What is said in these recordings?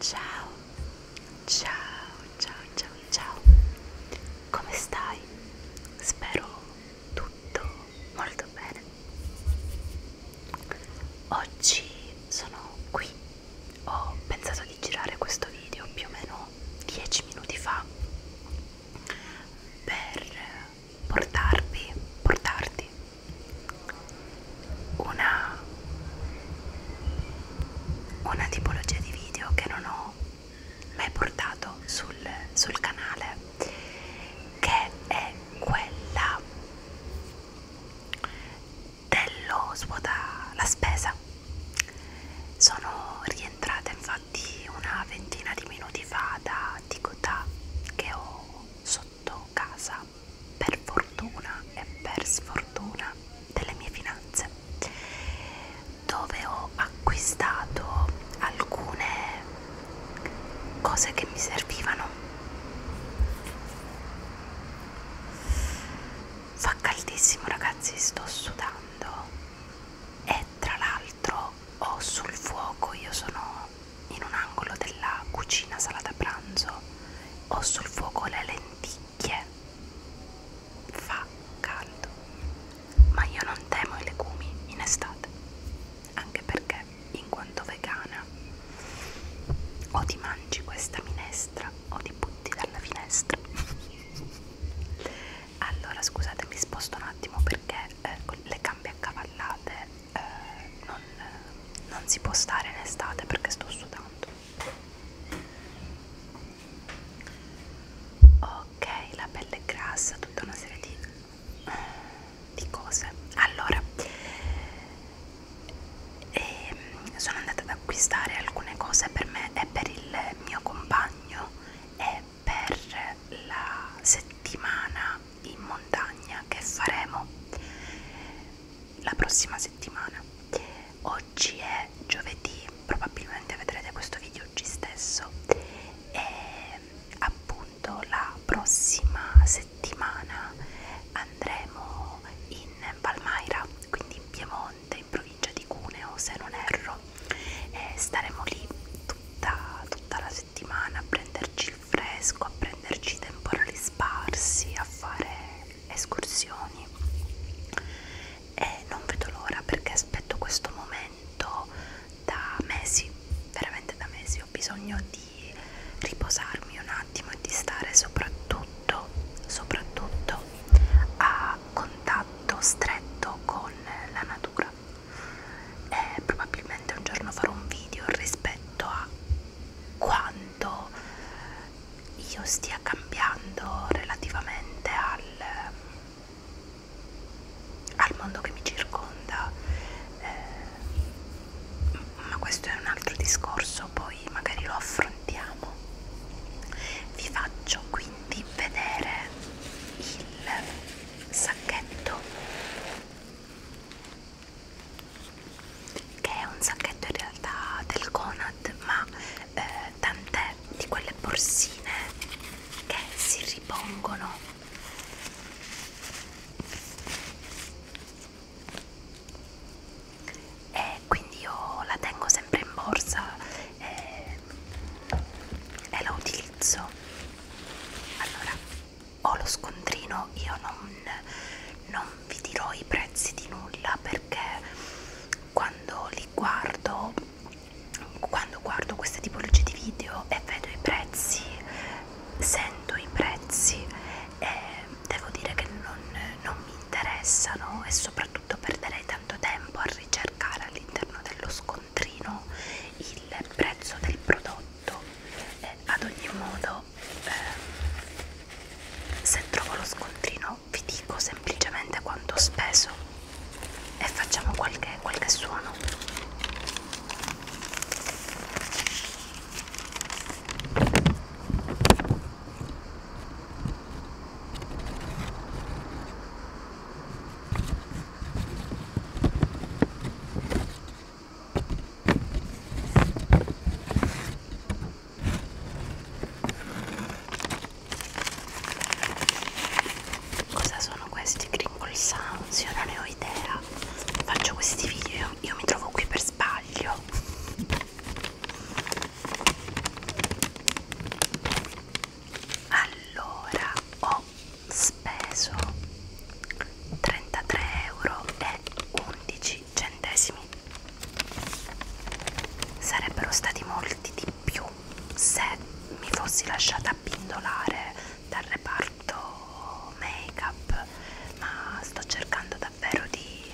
Ciao, ciao, ciao, ciao, ciao. Come stai? Spero tutto molto bene. Oggi sono qui. Ho pensato di girare questo video più o meno 10 minuti fa per portarvi, portarti una, una tipologia di video che non ho mai portato sul, sul canale, che è quella dello svuota la spesa. Sono rientrata infatti passati una ventina di minuti fa da Ticotà che ho sotto casa per fortuna e per sfortuna delle mie finanze dove ho acquistato alcune cose che mi servivano Fa caldissimo ragazzi, sto sudando e tra l'altro ho sul fuoco, io sono in un angolo della cucina sala da pranzo, ho sul fuoco le lenticchie, fa caldo, ma io non temo i legumi in estate, anche perché in quanto vegana o ti mangi questa minestra o ti butti dalla finestra allora scusate mi sposto un attimo perché eh, con le gambe accavallate eh, non, non si può stare in estate perché sto sudando ok la pelle è grassa tutta una serie di, di cose allora ehm, sono andata ad acquistare alcune cose per me e per il mio compagno e per la settimana in montagna che faremo la prossima settimana oggi è giovedì probabilmente vedrete questo video oggi stesso e appunto la prossima settimana andremo in Palmaira quindi in Piemonte in provincia provincia di Cuneo se non erro e staremo lì tutta, tutta la settimana a prenderci il fresco, a prenderci temporali sparsi, a fare escursioni e non vedo l'ora perché aspetto questo momento da mesi, veramente da mesi ho bisogno di riposarmi un attimo e di stare soprattutto, soprattutto a contatto stretto con la natura eh, probabilmente un giorno farò un video rispetto a quanto io stia cambiando relativamente al, ehm, al mondo che mi circonda eh, ma questo è un altro discorso poi magari lo affrontiamo vi faccio quindi vedere il sacchetto che è un sacchetto in realtà del Conad ma eh, tant'è di quelle borsine che si ripongono e quindi io la tengo sempre in borsa Ehm, e, e la utilizzo allora ho lo scontrino io non, non vi dirò i prezzi di nulla perché quando li guardo quando guardo queste tipologie di video e vedo i prezzi sento i prezzi e eh, devo dire che non, non mi interessano e soprattutto soprattutto perderei tanto tempo a ricercare all'interno dello scontrino il prezzo del prodotto eh, ad ogni modo eh, se trovo lo scontrino vi dico semplicemente quanto ho speso e facciamo qualche, qualche suono Cosa sono questi crinkle sounds? Io non ne ho idea. Faccio questi video, io mi trovo qui per sbaglio allora ho speso 33 euro e 11 centesimi sarebbero stati molti di più se mi fossi lasciata pindolare dal reparto make up ma sto cercando davvero di,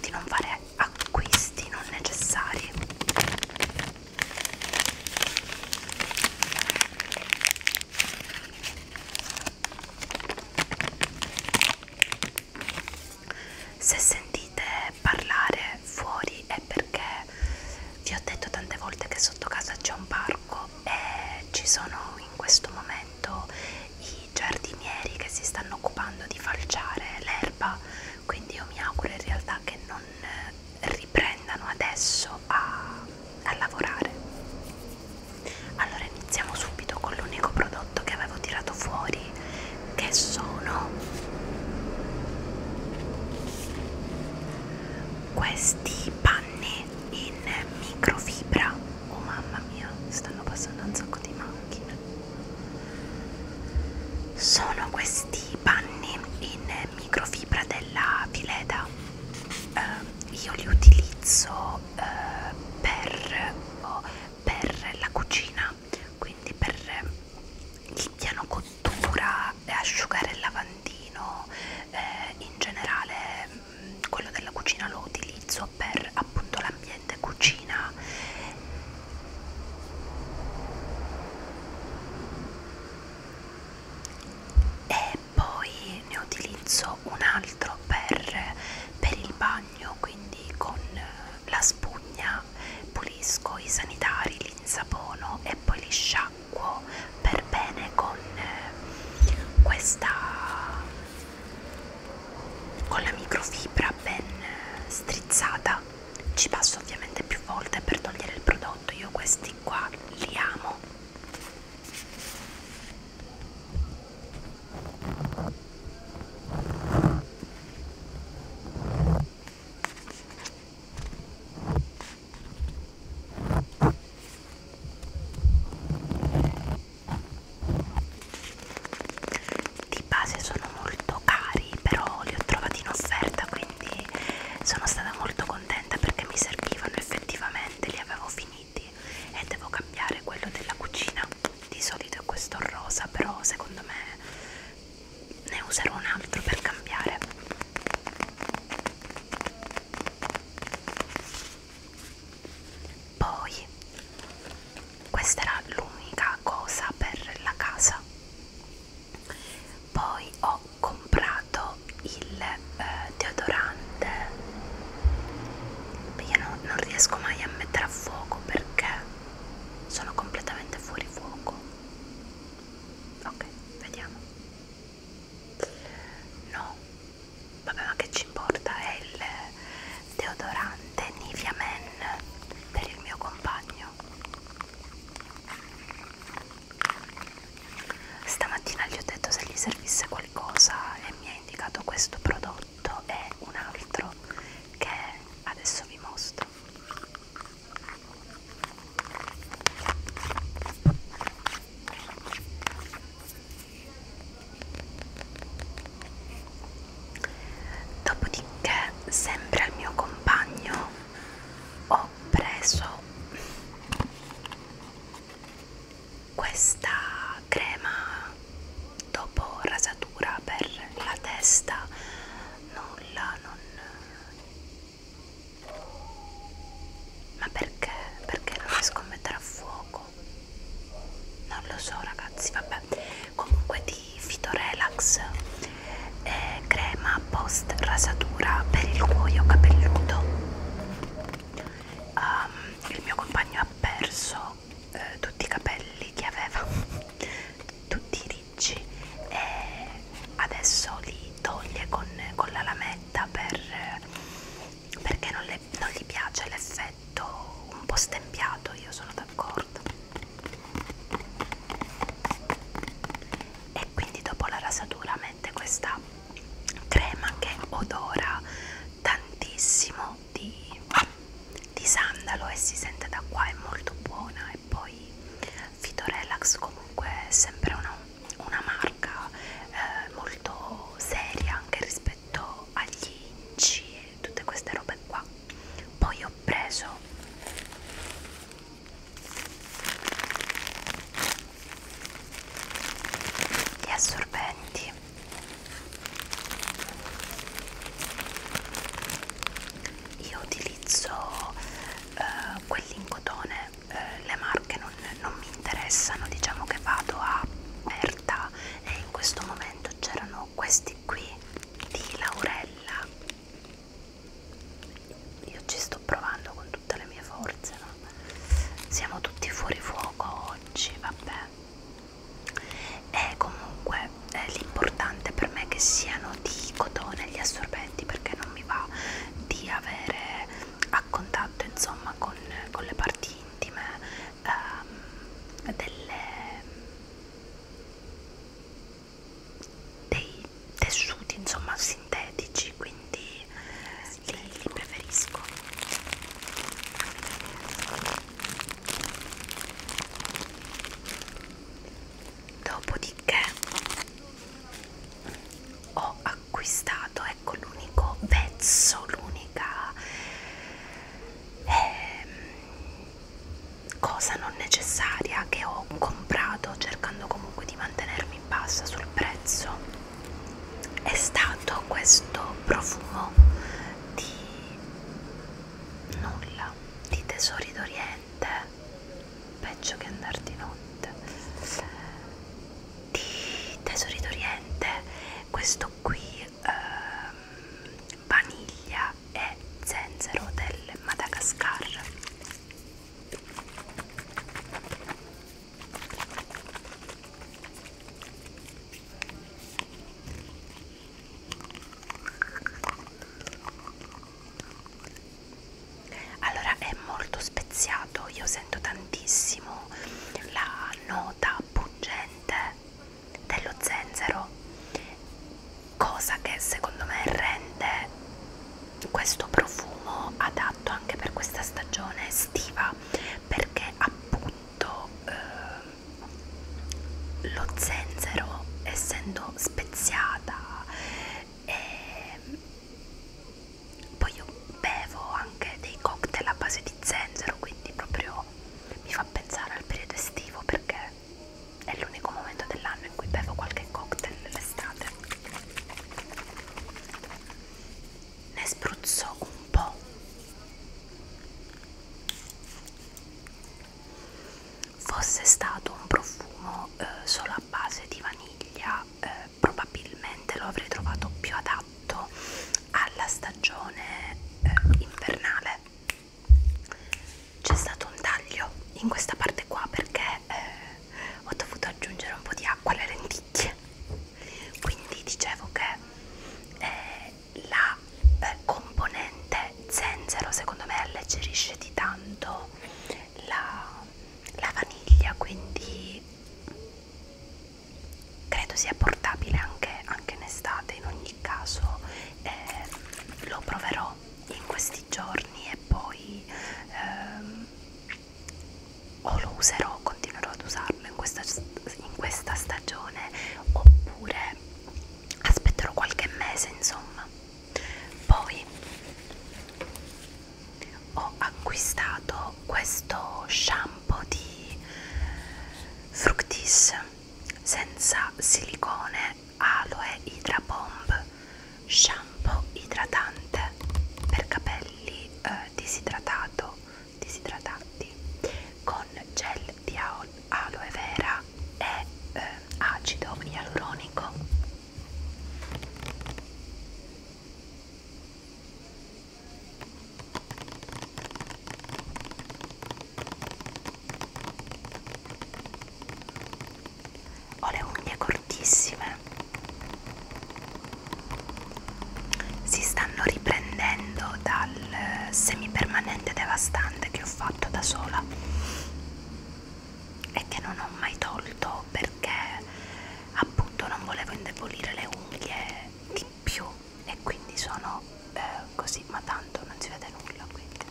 di non fare acquisti non necessari se sentite parlare fuori è perché vi ho detto tante volte che sotto casa c'è un parco e ci sono in questo momento i giardinieri che si stanno occupando di falciare l'erba quindi io mi auguro in realtà che non eh, riprendano adesso a, a lavorare allora iniziamo subito con l'unico prodotto che avevo tirato fuori che sono questi panni in microfibra oh mamma mia stanno passando un sacco di macchine sono questi panni in microfibra della Vileda eh, io li utilizzo eh, per, oh, per la cucina quindi per il piano cottura asciugare il lavandino eh, in generale mm, quello della cucina lo utilizzo per appunto l'ambiente cucina e poi ne utilizzo un altro per, per il bagno quindi con la spugna pulisco i sanitari li insapono e poi li sciacquo per bene con questa con la microfibra ben strizzata ci passo ovviamente più volte per togliere il prodotto io questi qua li amo di base sono molto cari però li ho trovati in offerta quindi sono stata molto contenta perché mi servivano effettivamente li avevo finiti e devo cambiare quello della cucina di solito è questo rosa però secondo me ne userò un altro per cambiare poi questa era l'unica cosa per la casa poi ho comprato il eh, deodorante io non, non riesco mai a mettere a fuoco perché sono completamente fuori fuoco ok vediamo no vabbè ma che ci importa è il deodorante Nivea Men per il mio compagno Stamattina gli ho detto se gli servisse qualcosa e mi ha indicato questo prodotto e un altro che adesso vi mostro. Dopodiché, sempre al mio compagno, ho preso questa crema dopo rasatura per la testa. Nulla, non. Ma perché? Perché non riesco a mettere a fuoco? Non lo so, ragazzi, vabbè vabbè comunque di Fitorelax eh, crema post rasatura per il cuoio capelluto um, il mio compagno ha perso eh, tutti i capelli che aveva tutti ricci e adesso li toglie con, con la lametta per, perché non, le, non gli piace l'effetto un po' stempiato io sono d'accordo e quindi dopo la rasatura mette questa crema che odora tantissimo di, di sandalo e si sente da qua è molto buona e poi Fitorelax comunque è sempre una, una marca eh, molto seria anche rispetto agli inci tutte queste robe qua poi ho preso gli assorbenti io utilizzo eh, quelli in cotone eh, le marche non, non mi interessano diciamo che vado a Berta e in questo momento c'erano questi qui di Laurella io ci sto provando con tutte le mie forze no? siamo tutti fuori fuoco oggi vabbè e comunque eh, l'importante per me è che siano di cotone gli assorbenti perché non mi va di avere a contatto insomma con, con le parti intime ehm, delle dei tessuti insomma sintetici quindi li, li preferisco dopodiché ho acquistato ecco l'unico pezzo l'unica ehm, cosa non necessaria che ho comprato cercando comunque di mantenermi bassa sul prezzo è stato questo profumo di nulla di tesori d'oriente peggio che andar di notte di tesori d'oriente questo qui eh, vaniglia è zenzero del Madagascar allora è molto speziato io sento tantissimo la nota pungente dello zenzero cosa che secondo me rende questo profumo adatto anche per questa stagione estiva perché appunto eh, lo zenzero essendo speziata e ehm, poi io bevo anche dei cocktail a base di zenzero quindi proprio però mi fa pensare al periodo estivo perché è l'unico momento dell'anno in cui bevo qualche cocktail l'estate. Ne spruzzo un po'. Fosse stato un profumo eh, solo a base di vaniglia, eh, probabilmente lo avrei trovato più adatto alla stagione eh, invernale c'è stato un taglio in questa parte qua perché eh, ho dovuto aggiungere un po' di acqua alle lenticchie quindi dicevo che eh, la eh, componente zenzero secondo me alleggerisce di tanto la, la vaniglia quindi credo sia portabile anche, anche in estate in ogni caso eh, lo proverò in questi giorni e poi ehm, o lo userò continuerò ad usarlo in questa, in questa stagione oppure aspetterò qualche mese insomma poi ho acquistato questo shampoo di Fructis senza silicone aloe hydra bomb shampoo idratante per capelli eh, disidratato disidratati con gel di aloe vera e eh, acido ialuronico ho le unghie cortissime, si stanno riprendendo dal semipermanente devastante che ho fatto da sola e che non ho mai tolto perché appunto non volevo indebolire le unghie di di più e quindi sono eh, così ma tanto non si vede nulla quindi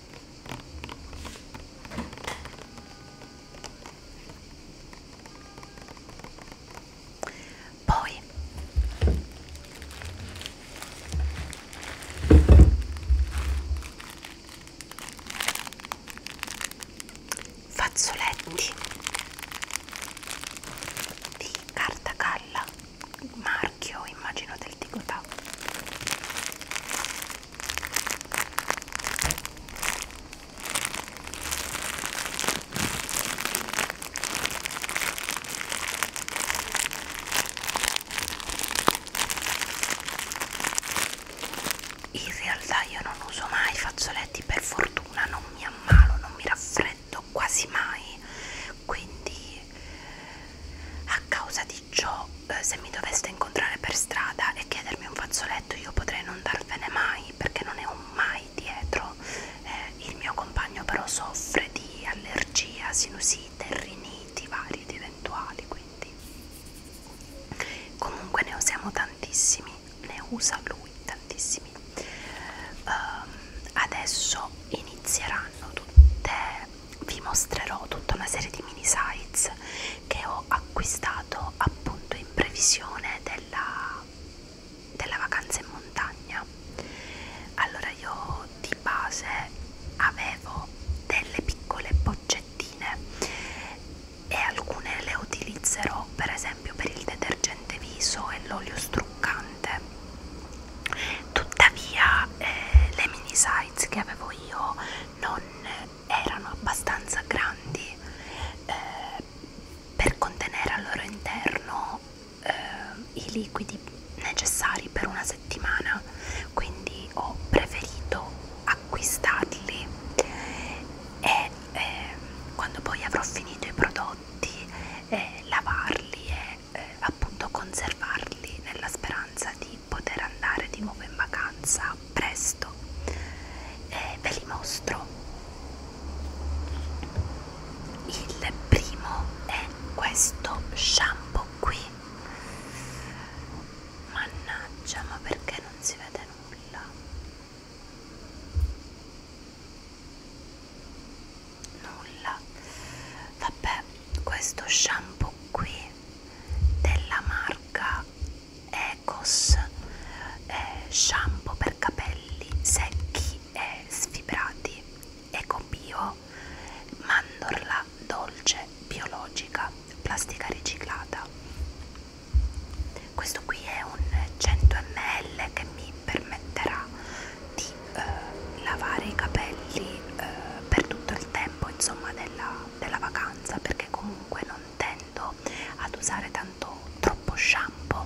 poi fazzoletti di carta galla marchio immagino del Tigotà in realtà io non uso mai fazzoletti per fortuna non mi ammalo non mi raffreddo prendo quasi mai quindi a causa di ciò eh, se mi doveste incontrare per strada e chiedermi un fazzoletto io potrei non darvene mai perché non ne ho mai dietro eh, il mio compagno però soffre di allergia, sinusite, riniti vari ed eventuali quindi comunque ne usiamo tantissimi ne usa lui tantissimi um, adesso inizieranno tutte vi mostrerò tutta una serie di mini sites che ho acquistato appunto in previsione della, della vacanza in montagna allora io di base avevo delle piccole boccettine e alcune le utilizzerò per esempio per il detergente viso e l'olio strucco struccante tuttavia eh, le mini size che avevo io non erano abbastanza grandi eh, per contenere al loro interno eh, i liquidi necessari per una settimana quindi ho preferito acquistarli e eh, quando poi avrò finito i prodotti eh, lavarli e eh, appunto conservarli nella speranza di poter andare di nuovo in vacanza presto e ve li mostro il primo è questo shampoo qui mannaggia ma perché non si vede nulla nulla vabbè questo shampoo qui della marca Ecos è eh, shampoo per capelli secchi e sfibrati eco bio mandorla dolce biologica plastica riciclata questo qui è un 100 ml che mi permetterà di eh, lavare i capelli eh, per tutto il tempo insomma della, della vacanza perché comunque non tendo ad usare tanto troppo shampoo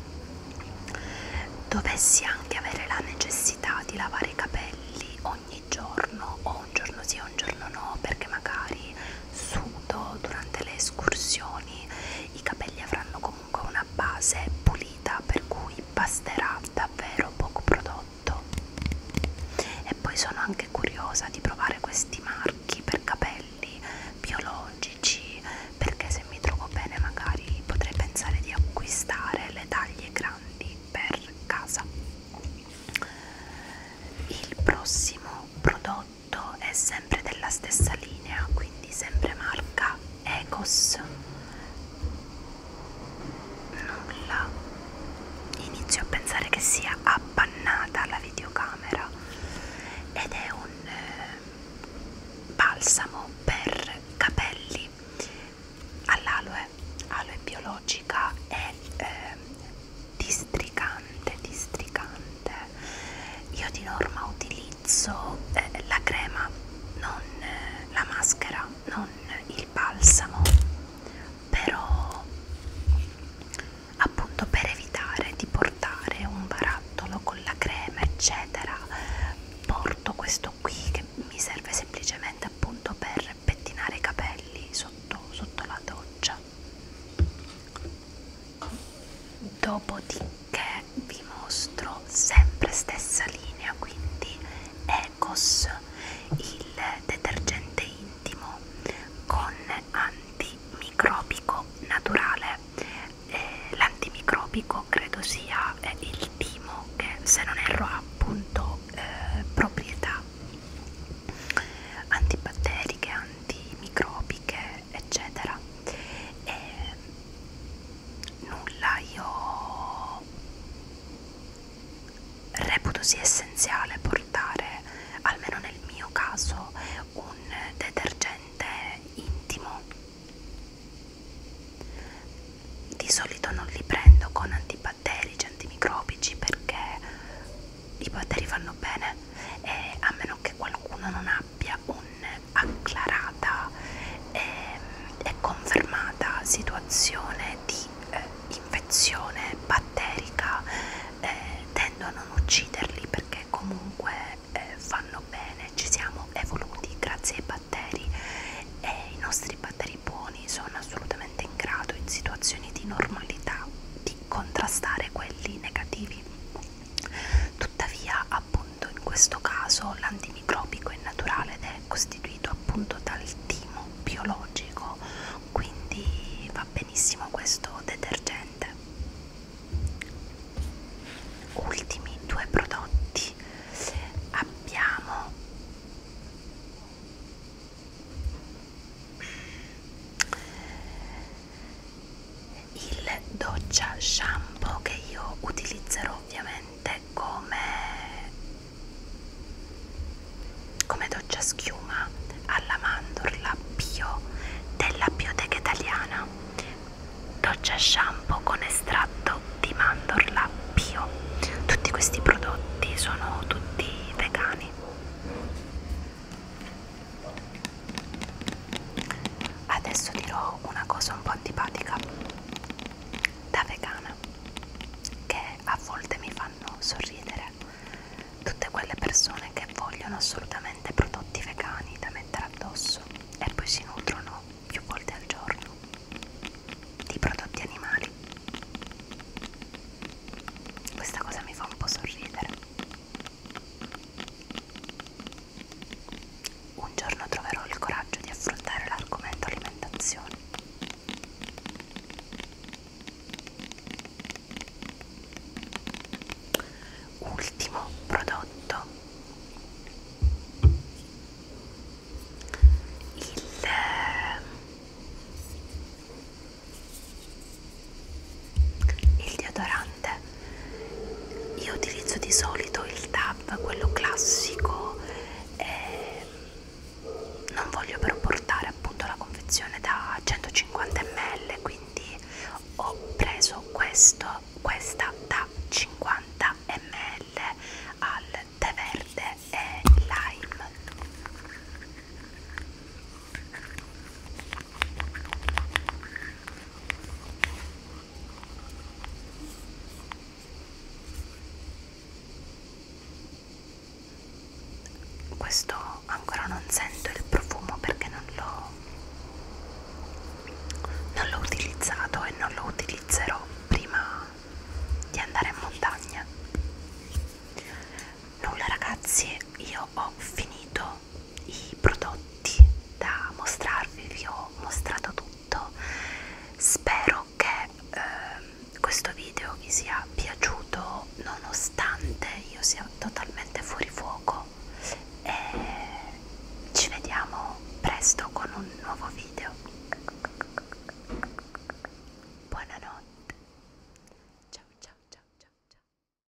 dovessi anche avere la necessità di lavare i capelli ogni giorno o un giorno sì o un giorno no perché magari sudo durante le escursioni i capelli avranno comunque con una base pulita per cui basterà davvero poco prodotto e poi sono anche curiosa di provare questi marchi per capelli biologici perché se mi trovo bene magari potrei pensare di acquistare le taglie grandi per casa il prossimo prodotto è sempre della stessa linea quindi sempre marca Ecos nulla inizio a pensare che sia appannata la videocamera ed è un eh, balsamo per capelli all'aloe aloe biologica e eh, districante districante io di norma utilizzo eh, la crema non eh, la maschera non il balsamo però appunto per evitare di portare un barattolo con la crema eccetera porto questo qui che mi serve semplicemente appunto per pettinare i capelli sotto, sotto la doccia dopodiché che vi mostro sempre stessa linea quindi Ecos il detergente intimo con antimicrobico naturale eh, l'antimicrobico credo sia eh, il timo che se non erro ha appunto eh, proprietà antibatteriche antimicrobiche eccetera e ehm, nulla io reputo sia essenziale portare almeno nel mio caso un detergente intimo di solito non li prendo con antibatterici antimicrobici perché i batteri fanno bene e a meno che qualcuno non abbia un acclarata e, ehm, e confermata situazione di eh, infezione batterica eh, tendo a non ucciderli perché comunque eh, fanno bene, ci siamo evoluti grazie ai batteri e i nostri batteri buoni sono assolutamente in grado in situazioni di normalità di contrastare quelli negativi Tuttavia, appunto, in questo caso l'antimicrobico è naturale ed è costituito appunto dal timo biologico, quindi va benissimo questo detergente. Ultimi due prodotti abbiamo il doccia shampoo che io utilizzerò ovviamente come, come doccia schiuma alla mandorla bio della Bioteca Italiana doccia shampoo con estratto di mandorla bio tutti questi prodotti sono tutti vegani Adesso dirò una cosa un po' antipatica da vegana che a volte mi fanno sorridere tutte quelle persone che vogliono assolutamente prodotti vegani da mettere addosso e poi si nutrono più volte al giorno di prodotti animali. Questa cosa mi fa un po' sorridere un giorno troverò il coraggio di affrontare l'argomento alimentazione. Ultimo prodotto. Il eh, il deodorante io utilizzo di solito il tab quello classico eh, non voglio però portare appunto la confezione da 150 ml quindi ho preso questo questa da 50 ml al tè verde e lime questo ancora non sento il profumo perché non l'ho non l'ho utilizzato e non lo utilizzerò prima di andare in montagna. Nulla ragazzi, io ho finito i prodotti da mostrarvi, vi ho mostrato tutto, spero che eh, questo video vi sia piaciuto nonostante io sia totalmente fuori fuoco e ci vediamo presto con un nuovo video. Buonanotte. Ciao ciao ciao ciao ciao.